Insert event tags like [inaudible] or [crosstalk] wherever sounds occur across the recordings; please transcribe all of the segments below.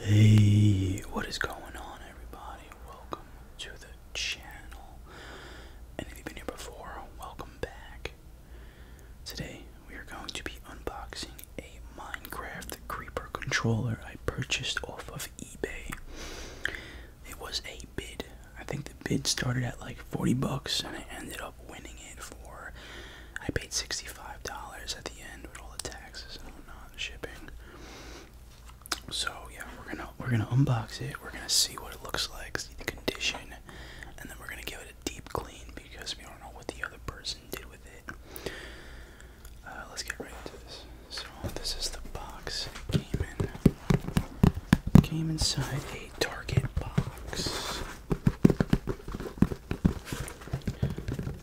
Hey, what is going on, everybody? Welcome to the channel. And if you've been here before, welcome back. Today, we are going to be unboxing a Minecraft Creeper controller I purchased off of eBay. It was a bid. I think the bid started at like 40 bucks and I ended up winning it for I paid sixty-five dollars at the end with all the taxes and whatnot, shipping. So yeah, we're gonna we're gonna unbox it. We're gonna see what it looks like, see the condition, and then we're gonna give it a deep clean because we don't know what the other person did with it. Uh, let's get right into this. So this is the box came in. came inside a Target box.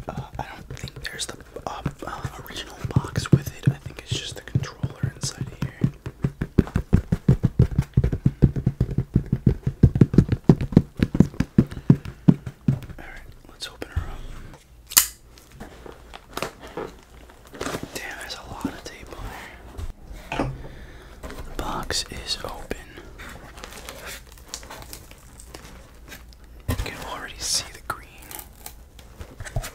Uh, I don't think there's the um, uh, original box with it. I think it's just the controller inside of here. Alright, let's open her up. Damn, there's a lot of tape on there. The box is open. I can already see the green. Oh,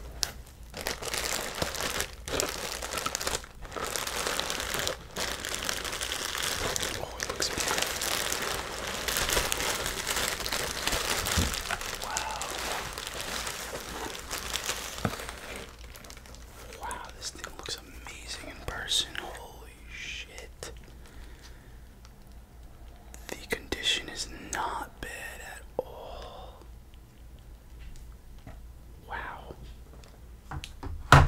it Wow. Wow, this thing looks amazing in person. Holy shit. The condition is not bad at all. Wow. Kind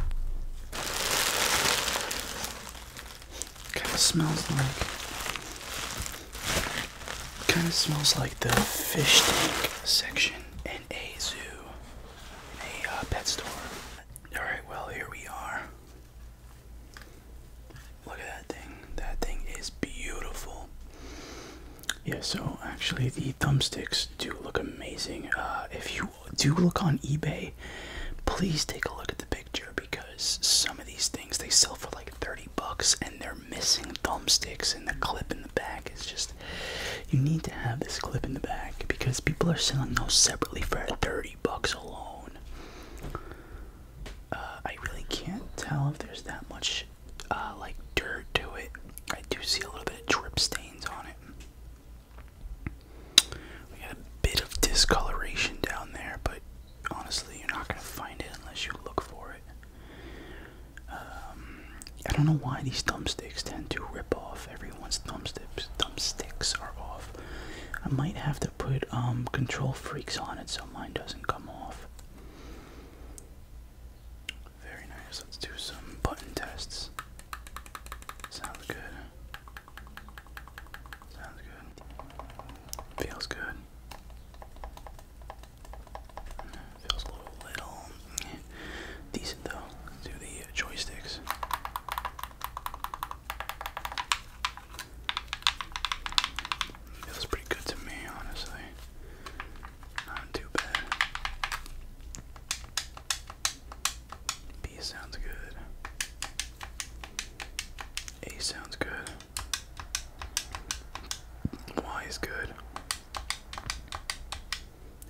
of smells like. Kind of smells like the fish tank section in a zoo, in a uh, pet store. Alright, well, here we are. Look at that thing. That thing is beautiful. Yeah, so actually the thumbsticks do look amazing. Uh, if you do look on eBay, please take a look at the picture because some of these things they sell for like 30 bucks and they're missing thumbsticks and the clip in the back is just you need to have this clip in the back because people are selling those separately for 30 bucks alone. Uh, I really can't tell if there's that much uh, like dirt to it. I do see a little bit of drip stains on it. We got a bit of discoloration down there, but honestly, you're not gonna find it unless you look for it. Um, I don't know why these thumbsticks tend to rip off. Everyone's thumbsticks are off. I might have to put um, control freaks on it so mine doesn't come off. Very nice. Let's do some button tests. Sounds good. Sounds good. Feels good. Feels a little, little decent though. do the joysticks. Feels pretty good to me, honestly. Not too bad. B sounds good. A sounds good. Y is good.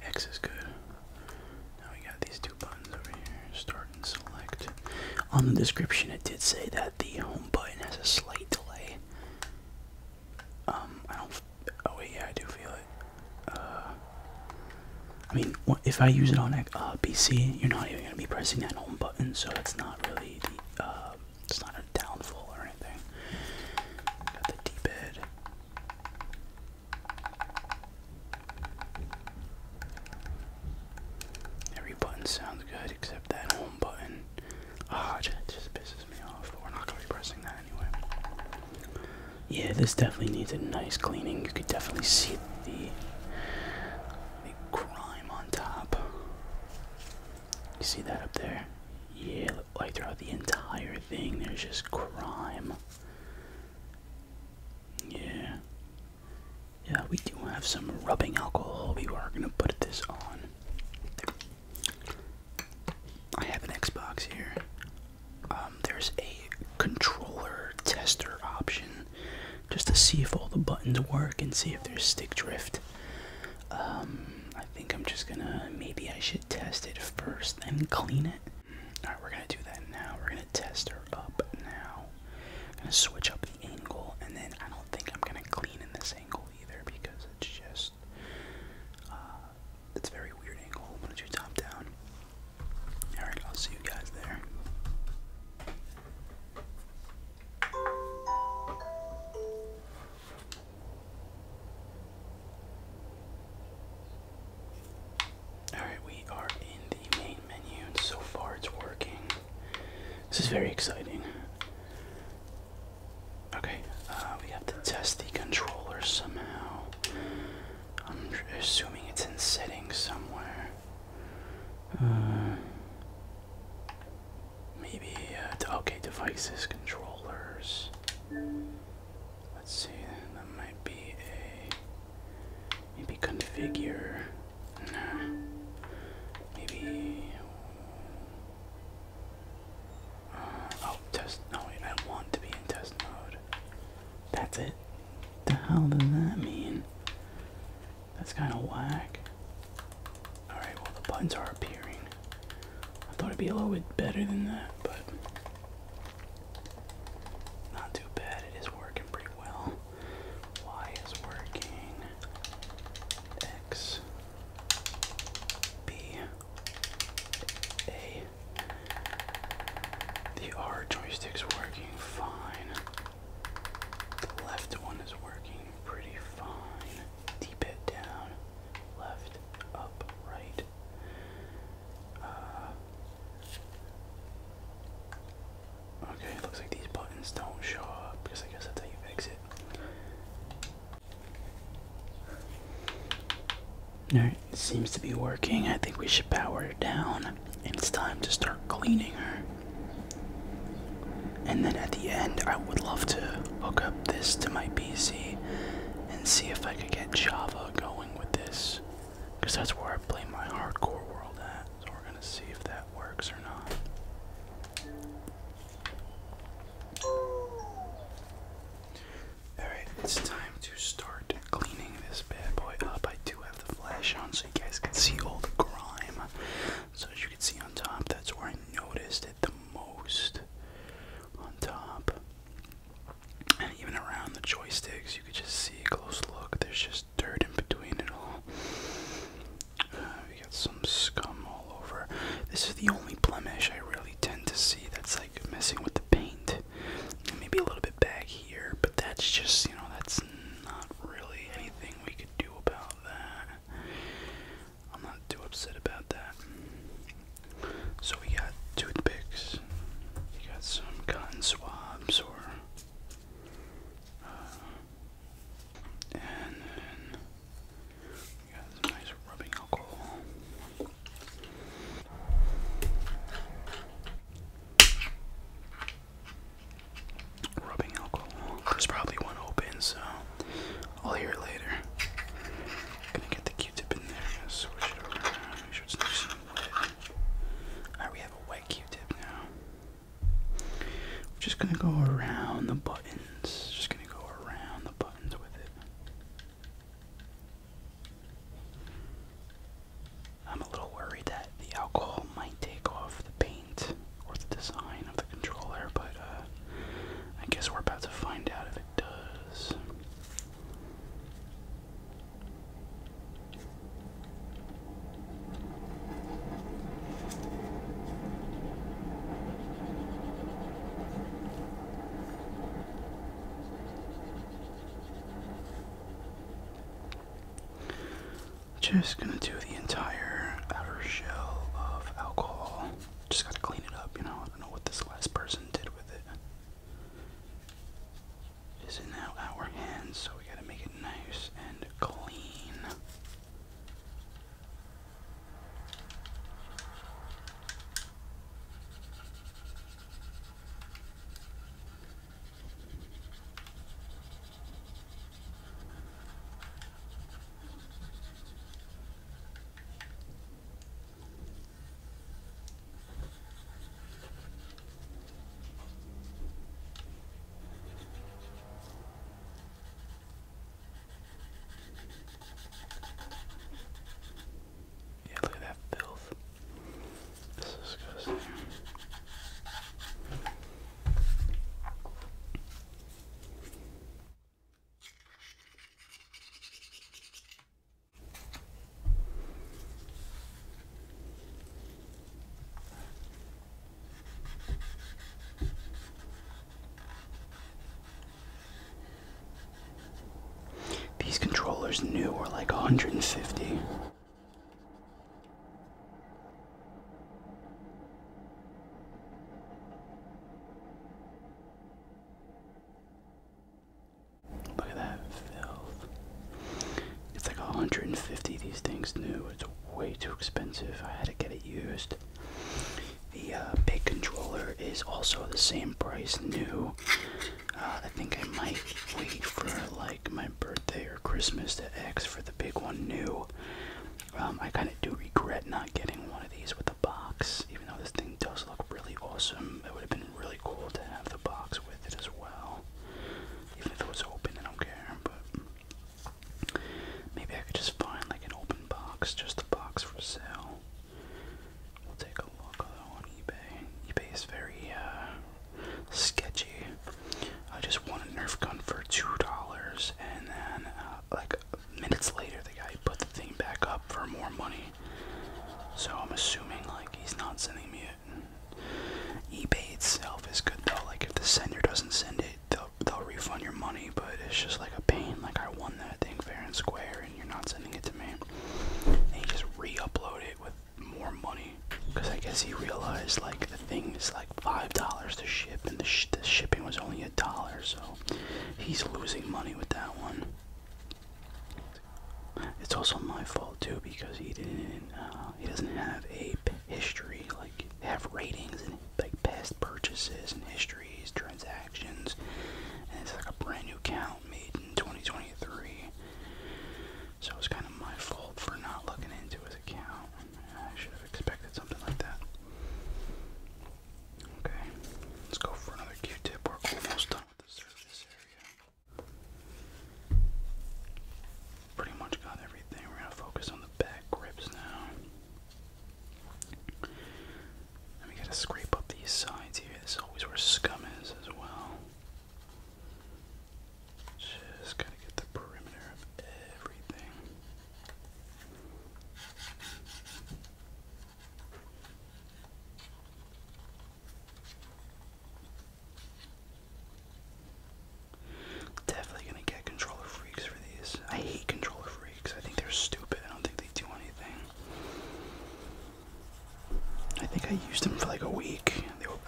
X is good. Now we got these two buttons over here. Start and select. On the description, it did say that the home button has a slight delay. Um, I don't. oh wait, yeah, I do feel it. Uh, I mean, if I use it on a uh, PC, you're not even gonna be pressing that home button, so it's not really the. Uh, it's not a downfall or anything. Got the D-pad. Every button sounds good except that home button. Ah, just pisses me off, but we're not going to be pressing that anyway. Yeah, this definitely needs a nice cleaning. You could definitely see the, the on top. You see that up there? Yeah, like throughout the entire thing, there's just crime. Yeah. Yeah, we do have some rubbing alcohol. We are gonna put this on. I have an Xbox here. Um, there's a controller tester option just to see if all the buttons work and see if there's stick drift. Um, I think I'm just gonna. Maybe I should test it first, then clean it. Alright, we're gonna do that now. We're gonna test her up now. I'm gonna switch up the angle, and then I don't think I'm gonna clean in this angle either because it's just uh, it's a very weird angle. I'm gonna do top down. Alright, I'll see you guys there. Alright, we are in the main menu, so far it's working. This is very exciting. Okay, uh, we have to test the controller somehow. I'm assuming it's in settings somewhere. Uh, maybe, uh, okay, devices, controllers. Let's see, that might be a maybe configure. Maybe uh, oh test no I want to be in test mode. That's it. The hell does that mean? That's kinda whack. Alright, well the buttons are appearing. I thought it'd be a little bit better than that, but not too bad, it is working pretty well. Y is working. X, B, A. The R joystick's working fine. The left one is working pretty fine. Deep it down. Left, up, right. Uh, okay, it looks like these buttons don't show up because I guess that's how you fix it. Alright, seems to be working. I think we should power it down. And it's time to start cleaning her. And then at the end, I would love to hook up this to my PC and see if I could get Java going with this. Because that's where I play my hardcore world at. So we're going to see if that works or not. Alright, it's time to start cleaning this bad boy up. I do have the flash on so you guys can see all the grime. So as you can see on top, that's where I noticed it the most. On top. And even around the joysticks, you could just see a close look. There's just dirt in between it all. Uh, we got some scum all over. This is the only blemish I really tend to see that's like messing with the paint. Maybe a little bit back here, but that's just, you know, that's not really anything we could do about that. I'm not too upset about that. So we got toothpicks, We got some cotton swabs, or uh, and we got some nice rubbing alcohol. Rubbing alcohol. There's probably one open, so I'll hear it later. Gonna get the Q-tip in there. going it over. Make sure it's nice Alright, we have a wet Q-tip now. We're just gonna go around the buttons. Just gonna go around the buttons with it. I'm a little worried that the alcohol might take off the paint or the design of the controller, but uh, I guess we're about to find out if it does. Just gonna do the entire outer shell of alcohol. Just gotta clean it up, you know. I don't know what this last person did with it is in now our hands, so we gotta make it nice and clean. Yeah, look at that filth. This is disgusting. These controllers new are like 150. Look at that filth. It's like 150 these things new. It's way too expensive. I had to get it used. The uh, big controller is also the same price new. Uh, I think I might wait for like my birthday or Christmas to X for the big one new. Um, I kind of do regret not getting one of these with a box, even though this thing does look really awesome. It would have been really cool to have the box with it as well. Even if it was open, I don't care, but maybe I could just find like an open box, just a box for sale. We'll take a look on eBay. eBay is very uh, sketchy. I just won a Nerf gun for two dollars, and then uh, like minutes later, the guy I put the thing back up for more money. So I'm assuming like he's not sending me it. eBay itself is good though. Like if the sender doesn't send it, they'll they'll refund your money. But it's just like a pain. Like I won that thing fair and square, and you're not sending it to me. He just re-upload it with more money because I guess he realized like the thing is like five dollars to ship and the, the shipping was only a dollar so he's losing money with that one it's also my fault too because he didn't. Uh, he doesn't have a history like have ratings and like past purchases and histories, transactions. And it's like a brand new account made in 2023. So it's kind of my fault for not looking into his account. I should have expected something like that. Okay, let's go for another Q-tip. We're almost done. Pretty much got everything. We're gonna focus on the back grips now. we gotta scrape up these sides here. This is always where scum is as well. Just gotta get the perimeter of everything. Definitely gonna get controller freaks for these. I hate controller freaks. I think they're stupid. I don't think they do anything. I think I used them for like a week.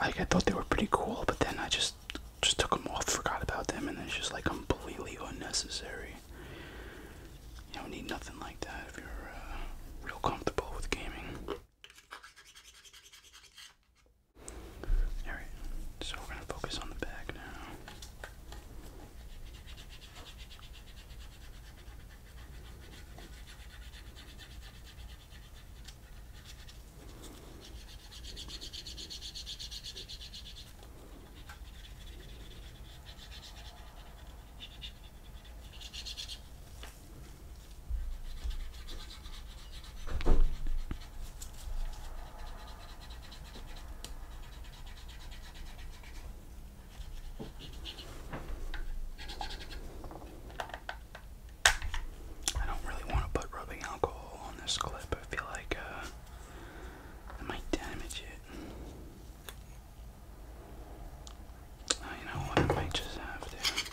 I thought they were pretty cool, but then I just just took them off, forgot about them, and it's just like completely unnecessary. You don't need nothing like that if you're uh, real comfortable with gaming. Alright, so we're going to focus on the bag now. I don't really want to put rubbing alcohol on this clip. I feel like uh, I might damage it. Oh, you know what? I might just have to.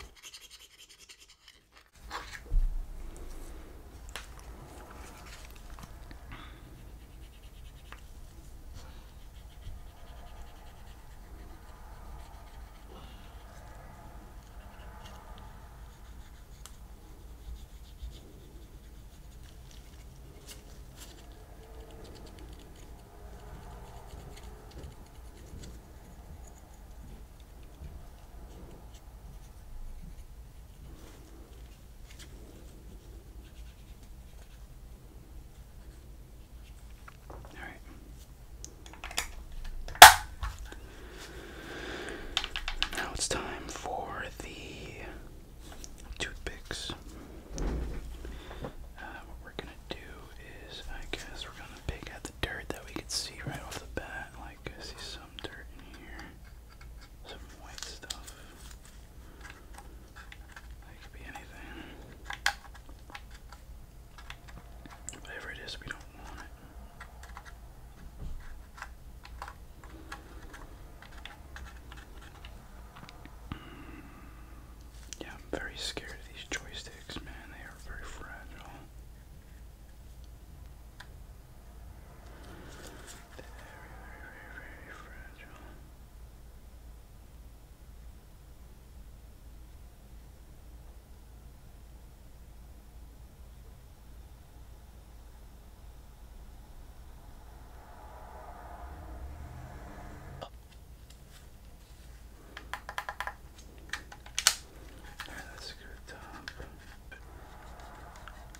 All right. Now it's time for the toothpicks. Uh, what we're gonna do is, I guess, we're gonna pick at the dirt that we could see right off the bat. Like, I see some dirt in here, some white stuff. That could be anything. Whatever it is, we don't want it. Yeah, I'm very scared of these joysticks, man. They are very fragile. Very, very, very, very fragile. Alright, let's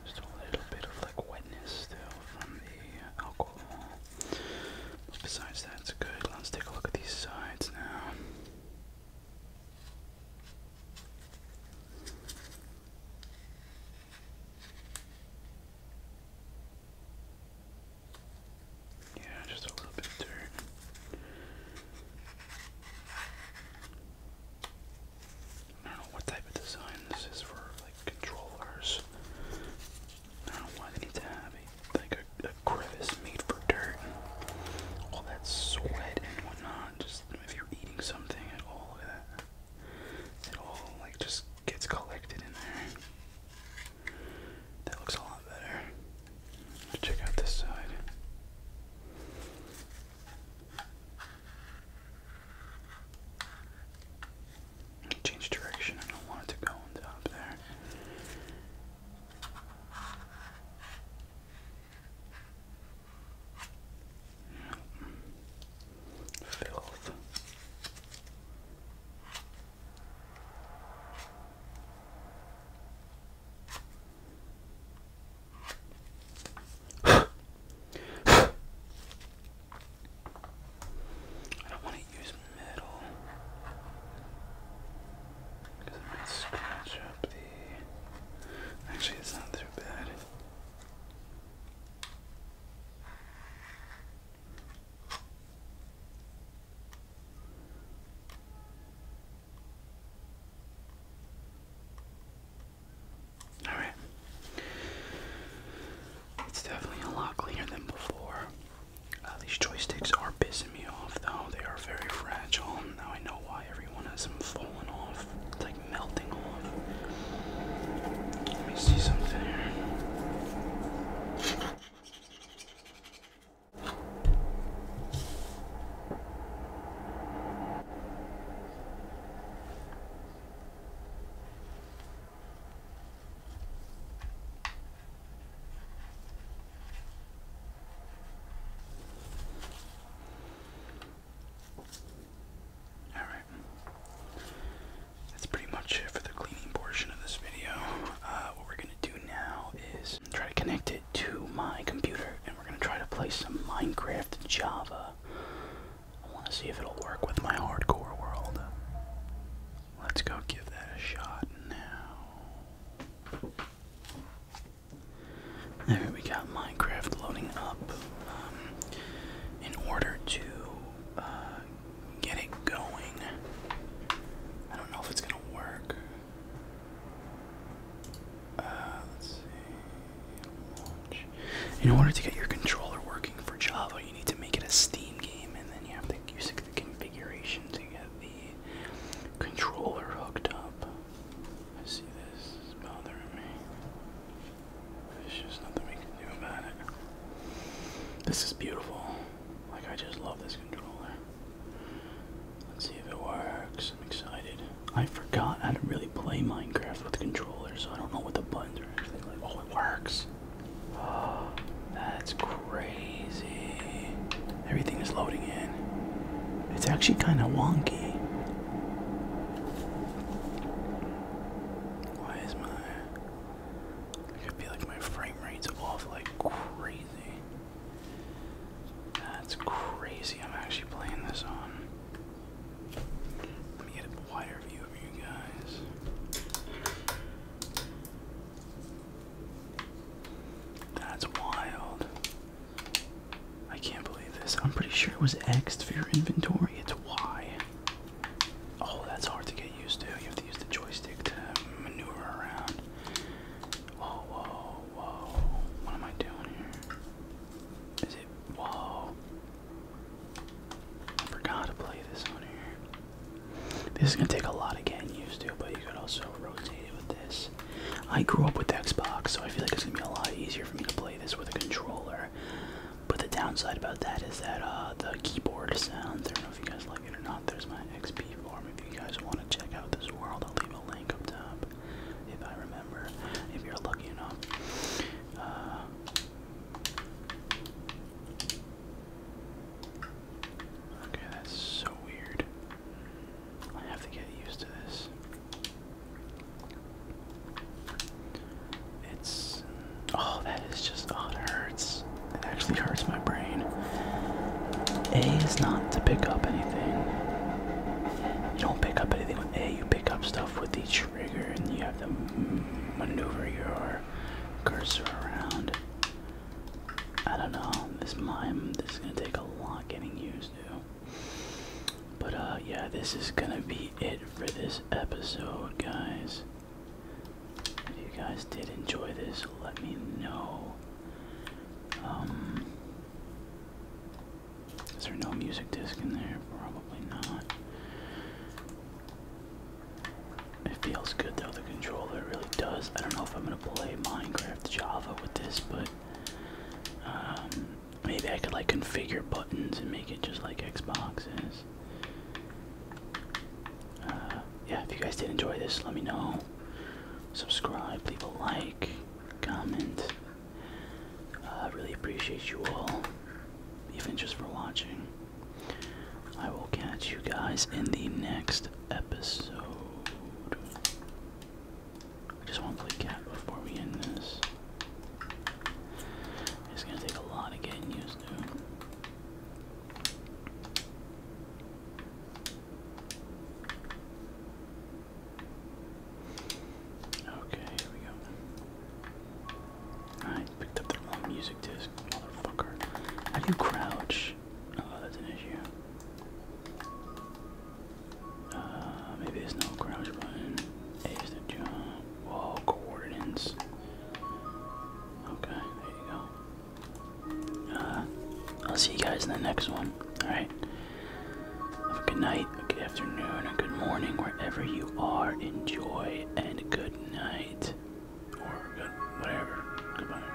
Just a little bit of like wetness still from the alcohol. besides that, it's good. Let's take a look at these sides now. Yeah, just a little bit of dirt. I don't know what type of design this is for, like controllers. I don't know why like a, crevice made for dirt all that sweat and whatnot. Just if you're eating something at all, look that. It all like just gets collected in there. That looks a lot better. check out this side. Change direction. I don't want it to go on top there. Filth. I don't want to use metal because it might scratch up the. Actually, it's not too bad. All right. It's definitely a lot cleaner than before. Uh, these joysticks are pissing me off, though. They are very fragile. Now I know why everyone has them falling off. Let me see something here. All right that's pretty much it for the cleaning portion of this video. Uh, what we're gonna do now is try to connect it to my computer, and we're gonna try to play some Minecraft Java. I want to see if it'll work with my hardcore world. Let's go give that a shot now. There we got Minecraft loading up. Um, in order to uh, get it going. I don't know if it's gonna work. Uh, let's see. In order to get your controller working for Java, you need to make it a Steam game, and then you have to use the configuration to get the controller hooked up. I see this is bothering me. This is beautiful. Like, I just love this controller. Let's see if it works. I'm excited. I forgot how to really play Minecraft with controllers, so I don't know what the buttons are actually like. Oh, it works. [gasps] that's crazy. Everything is loading in. It's actually kind of wonky. Why is my could be like my frame rate's off like crazy. That's crazy. I'm actually playing this on. Let me get a wider view of you guys. That's wild. I can't believe this. I'm pretty sure it was X for your inventory. It's Y. Oh, that's hard to get used to. You have to use the joystick to maneuver around. Whoa, whoa, whoa. What am I doing here? Is it. Whoa. I forgot to play this on here. This is gonna take a lot of getting used to, but you could also rotate it with this. I grew up with the Xbox, so I feel like it's gonna be a lot easier for me to play this with a controller. But the downside about that is that uh, the keyboard sounds, I don't know if you guys like it or not, there's my XP form. If you guys want to check out this world, I'll leave a link up top if I remember, if you're lucky enough. Uh, okay, that's so weird. I have to get used to this. It's oh, that is just oh, it hurts. It actually hurts my brain. A is not to pick up anything. You don't pick up anything with A. You pick up stuff with the trigger, and you have to maneuver your cursor around. I don't know. This mime. This is gonna take a lot getting used to. But uh yeah, this is gonna be it for this episode, guys. If you guys did enjoy this, let me know. Um Is there no music disc in there? Probably not. It feels good though, the controller really does. I don't know if I'm gonna play Minecraft Java with this, but um, Maybe I could like configure buttons and make it just like Xbox is. Uh, yeah, if you guys did enjoy this, let me know. Subscribe, leave a like, comment. Uh, I really appreciate you all, even just for watching. I will catch you guys in the next episode. I just want to play cat before we end this. It's gonna take a lot of getting used to. Okay, here we go. I picked up the music disc, motherfucker. How do you crouch? Oh, that's an issue. Uh, maybe there's no crouch button. A the jump. Whoa, coordinates. Okay, there you go. Uh, I'll see you guys in the next one. Alright. Have a good night, a good afternoon, a good morning, wherever you are. Enjoy and good night. Or good, whatever. Goodbye.